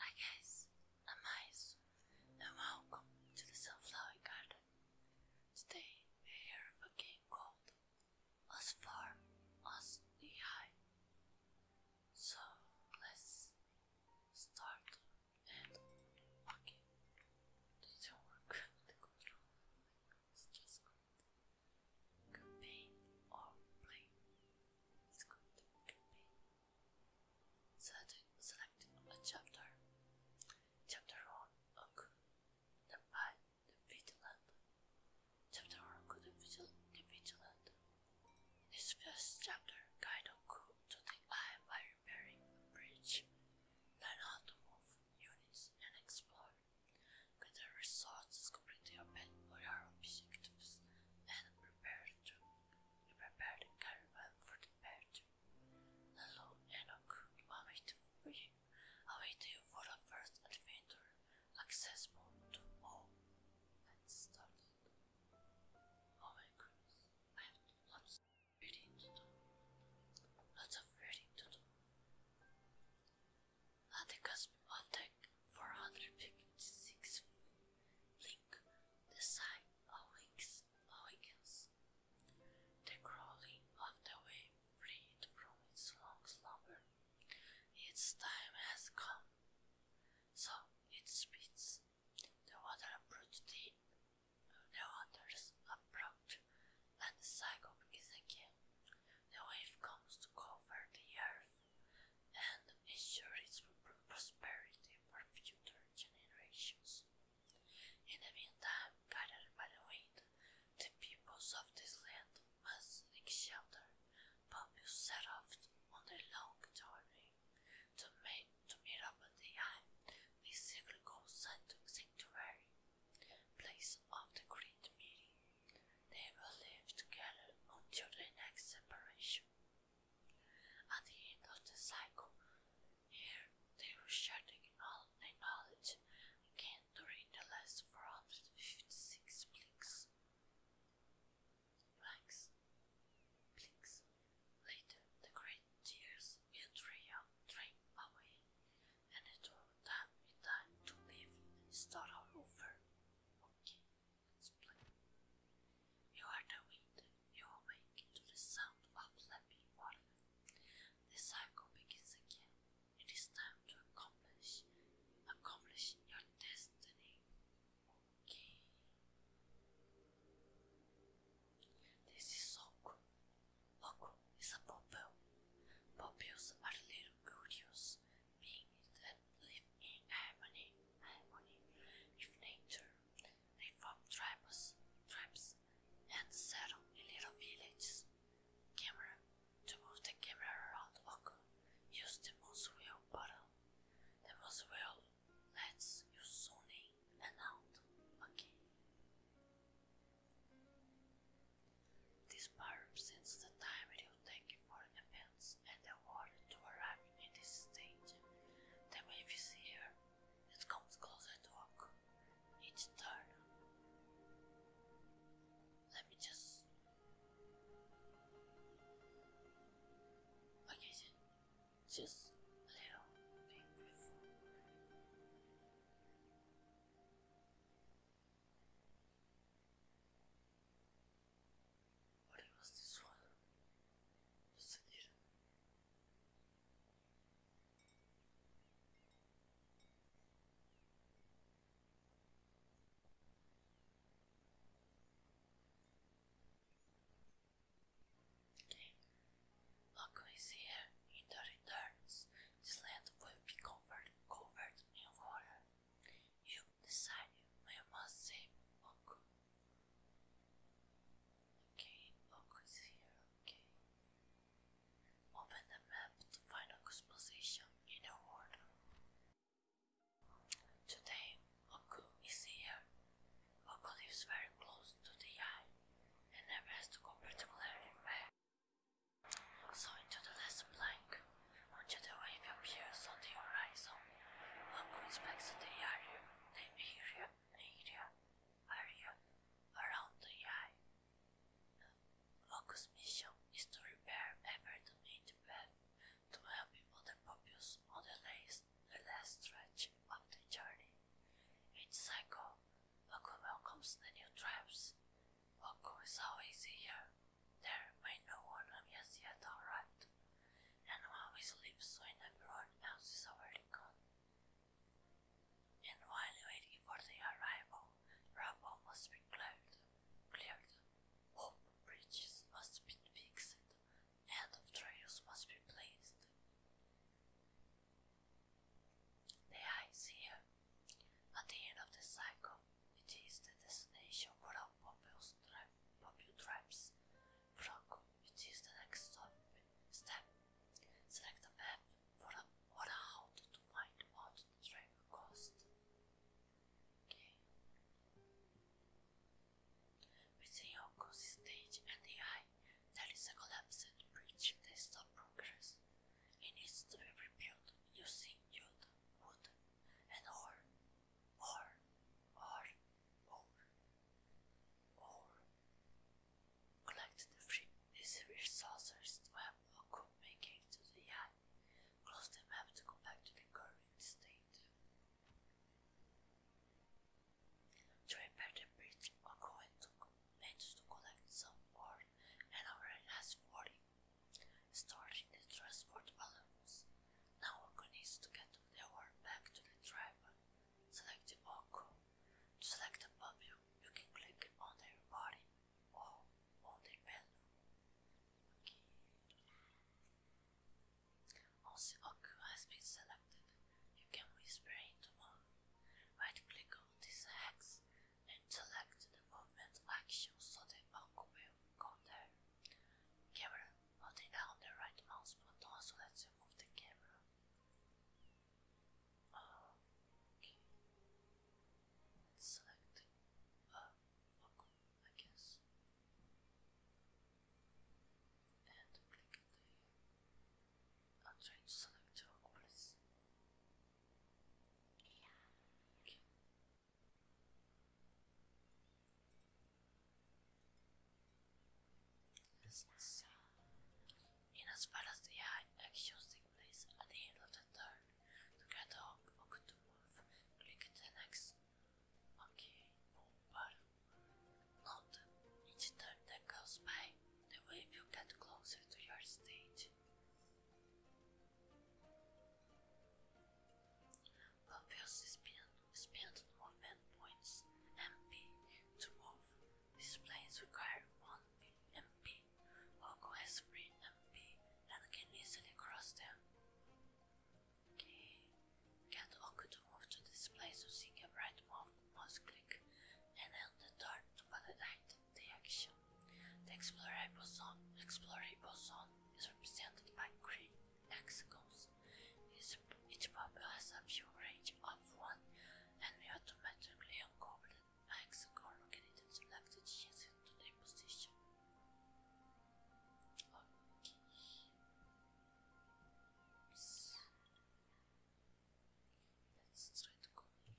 Hi guys, I'm Mice and welcome to the Self-Flowing Garden. Today we hear a gold as Far, as Knee High. So let's start and okay. It work Let's just go campaign or play. It's good campaign. Select, select a chapter. Chapter 1 occur. The fight the vigilant. Chapter 1 could the vigilant. In this first chapter, Kaido grew to the eye by repairing a bridge. Learn how to move units and explore. Gather resources, complete your pet objectives, and prepare to prepare the caravan for the path. Lalo and Oku await you for the first adventure, accessible to all. Let's start Oh my goodness, I have lots of reading to do. Lots of reading to do. At the cusp of the 456th blink, the sight awakes, awakens. The crawling of the wave freed from its long slumber. Its time has come. So it speeds. The water approached the, the waters approach, and the cycle is again. The wave comes to cover the earth and ensure its prosperity for future generations. In the meantime, guided by the wind, the peoples of this land must seek shelter, but set off on their long journey to, make, to meet up at the eye, the cyclical sanctuary, place of the great meeting. They will live together until the next separation. At the end of the cycle, here they will share their knowledge again during the last 456 blinks. Blanks. Blinks. Later, the great tears will drain away and it will time time to live and start all over. Okay, let's play. You are the wind, you awake to the sound of lapping water. The cycle begins again. It is time to accomplish accomplish your destiny. Okay. This is Okru. Okru is a popple. Popples are little curious beings that live in harmony, harmony with nature. They form tribes, tribes and settle in little villages. Camera. To move the camera around Oku, use the most wheel button. The most wheel lets you zoom in and out. Okay. This barb since the time it will take for defense and the water to arrive in this stage. The wave is here. It comes closer to occur each turn. Let me just Okay just a little what was this one? Just a little. Okay, look who is here in the returns, this land will be covered, in water. You decide when must save Oku. Okay, Oku is here, okay. Open the map to find Oku's position in the Today, Oku is here. Oku lives very close to the eye and never has to go particularly far. So into the last plank, until the wave appears on the horizon. One who inspects the area, the area, area, area around the eye. Locus' mission is to repair every donated path to help other pupils on the last, the last stretch of the journey. Each cycle, Loco welcomes the new tribes of course, always here, there, may no one has yet arrived, and always leaves when everyone else is already gone. And while waiting for the arrival, rubble must be cleared, cleared, hope bridges must be fixed, and of trails must be placed. The idea at the end of the cycle, it is the destination for all populous tri tribes. Frog, it is the next stop. step. Select a map for a, or a route to find what the travel cost. Okay. Within Yoko's stage and the eye, there is a collapsed bridge. They stop progress house. It needs to be rebuilt using jute, wood, and ore. Ore, ore, ore, ore. Collect the three severe saucers to have a good making to the eye. Close the map to go back to the current state. To repair the bridge, I'm going to, need to collect some ore and our last 40. Starting the transport balloons. Now Oko needs to get the word back to the tribe. Select the Oko. select the puppy, you can click on their body or on their belly. Okay. Once the has been selected, you can whisper into one. Right click on this hex Select the movement, action, so the monkey will go there. Camera, holding down the right mouse button so that you move the camera. Oh, okay. select uh, Oku, I guess. And click the I'll change something to Aqualis. Yeah. Okay. let In as far as the eye, actions place at the end of the turn. To get up to move, click the next. Okay, move button. each turn that goes by, the wave will get closer to your stage. Pulpils spin, spin movement points MP to move. Displays require 1 MP. Logo has 3 MP and can easily cross them. Okay. Get Oku to move to displays using a right move mouse click and then the turn to validate the action. The explorer boson, explorer boson is represented by green hexagons. Each, each bubble has a view range of 1 and we automatically uncover the hexagon located selected adjacent to the position. Let's try to go and not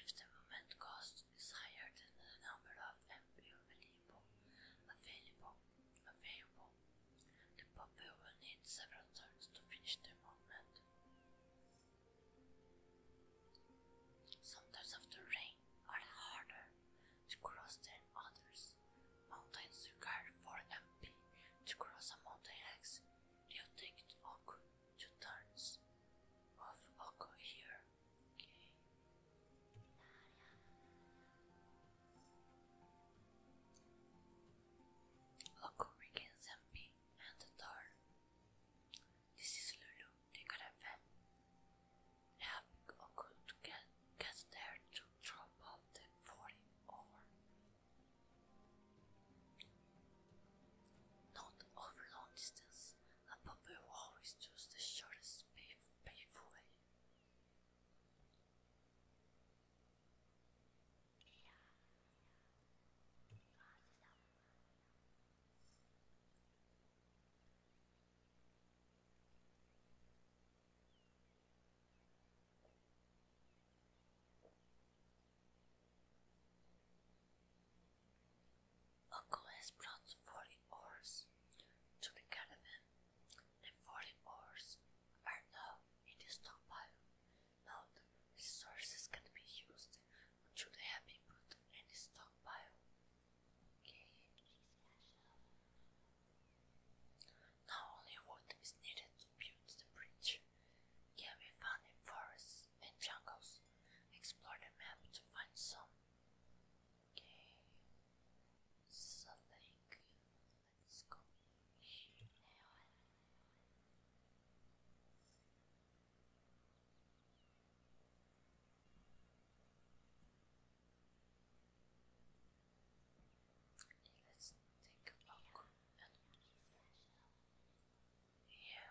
If the moment cost is higher than the number of MP you will available, available, available. The puppy will need several turns to finish the movement. Sometimes after rain are harder to cross than others. Mountains require 4 MP to cross a mountain X. You take Oku two turns. Move Oku here Occurring in Zambi and the door. This is Lulu, the caravan. Helping Oku to get, get there to drop off the 40 over. Not over distance, and but will always choose the shortest painful way. Uncle has brought forty oars to the caravan. The forty oars are now in the stockpile. Now the resources can be used until they have been put in stockpile. Not only wood is needed to build the bridge, can be found in forests and jungles. Explore the map to find some. Okay, so like, let's go now. Let's take a look yeah.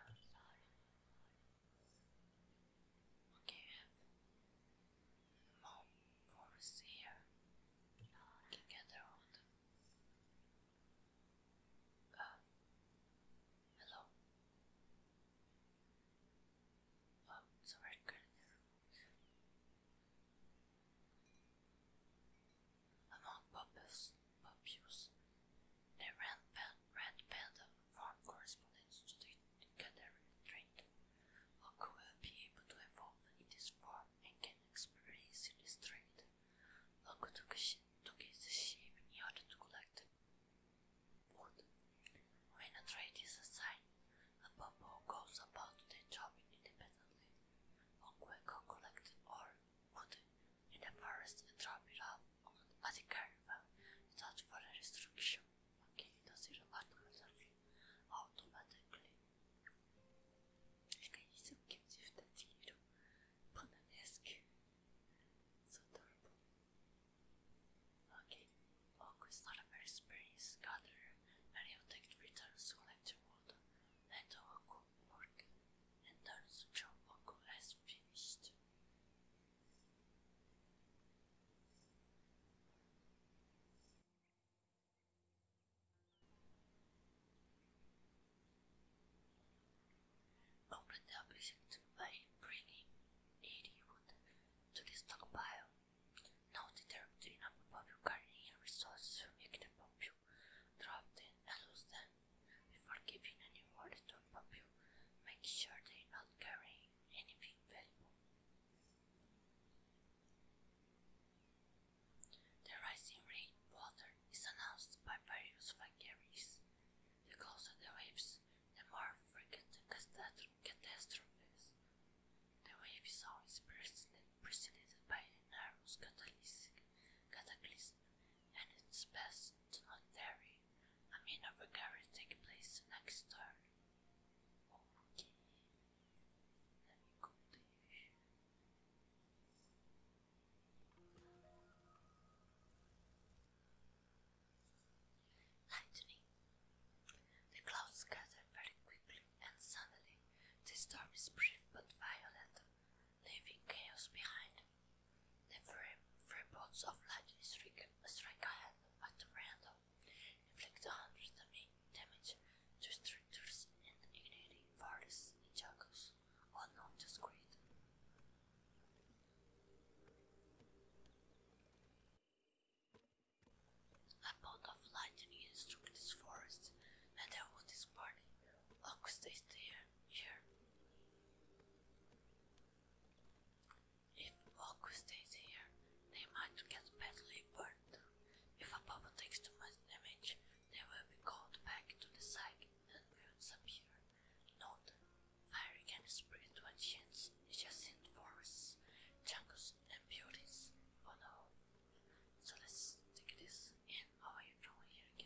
Okay, we have more forest here. Now I can get around. Uh, hello. Oh, it's a red girl there. Among poppies, poppies, they ran red panda farm correspondence to the and canary trait. Oku will be able to evolve in this form and can experience in this trait. Oku took, took its shape in order to collect wood. When a trait is assigned, a bubble goes about their job independently. Oku will collect or wood in the forest and drop it off अधिकारमा सचफल रिस्ट्रिक्सनमा केही दसेर बाटोमा सर्ने automatically. Ehkä iso gives you the tiro. Bananeski. So adorable. Okay, Oak not a very experienced gatherer, and he'll take returns to collect water, and Oak work, and turns to Oak has finished. Open the object by bringing 80 wood to the stockpile. Now determine the number of your gardening resources to make them popular. Drop them and lose them before giving any word to make sure they're not carrying anything valuable. The rising water is announced by various vagaries. The closer the waves, the more frequent the catastrophes. The wave is always preceded by an narrow cataclysm, and it's best do not vary. I mean, a recovery take place next turn. Okay. Let me go Lightning. The clouds gather very quickly, and suddenly the storm is brief but violent, leaving chaos behind. The frame, frame of light strike, strike ahead at random, inflict 100 damage to structures and igniting various in all known to Squid. A bolt of lightning struck this forest, and the wood is burning. August stays there, here. If Boku stays here, they might get badly burned. If a bubble takes too much damage, they will be called back to the site and will disappear. Note, Fire can spread to is just forests, jungles, and beauties. Oh no. So let's take this in away from here, I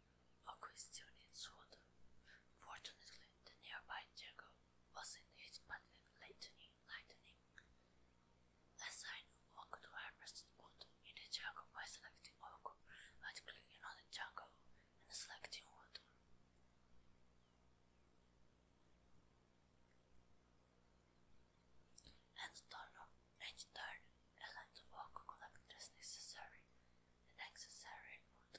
A question needs water. Fortunately, the nearby jungle wasn't his by the lightning. lightning. A sign of could harvest wood in the jungle by selecting oak and clicking on the jungle and selecting wood. And turn each turn, a land of oak collectors necessary, the necessary wood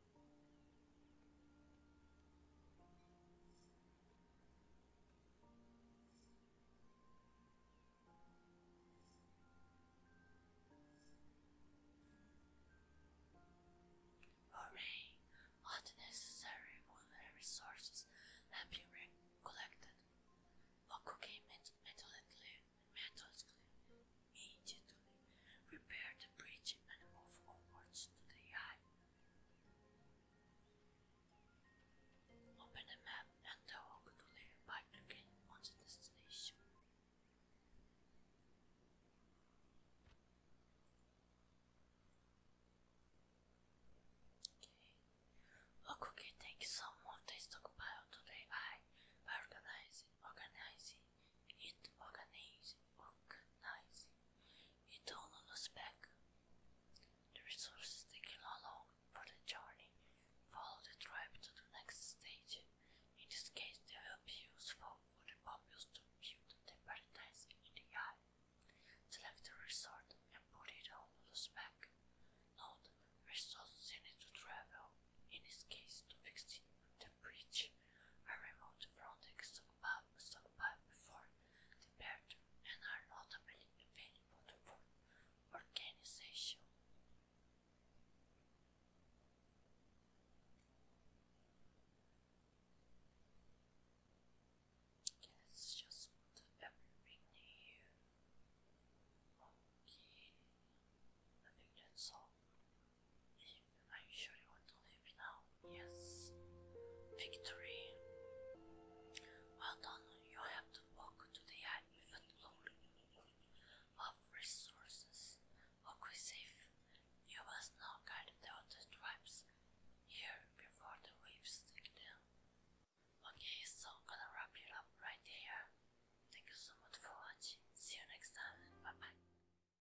Hooray! All necessary resources have been collected. Oku came met methodically, methodically, immediately repaired the bridge and moved onwards to the eye. Open the map and walk to the bike again on the destination. Okay. Okuki takes some of the stockpile today I by organizing organizing it organizing, organizing it on the spec. The resources taken along for the journey follow the tribe to the next stage. In this case, they will be useful for the populace to the their paradise in the eye. Select the resort and put it on the spec. Note, resources needed to travel, in this case to fix the, the bridge, are removed from the stockpile have stockpiled before the and are notably available for organization. let just put everything here. Okay, I think that's all. Are you sure you want to leave now? Yes. Victory. Well done, you have to walk to the end with of resources. Walk safe. You must now guide the other tribes here before the waves take them. Okay, so gonna wrap it up right here. Thank you so much for watching. See you next time. Bye bye.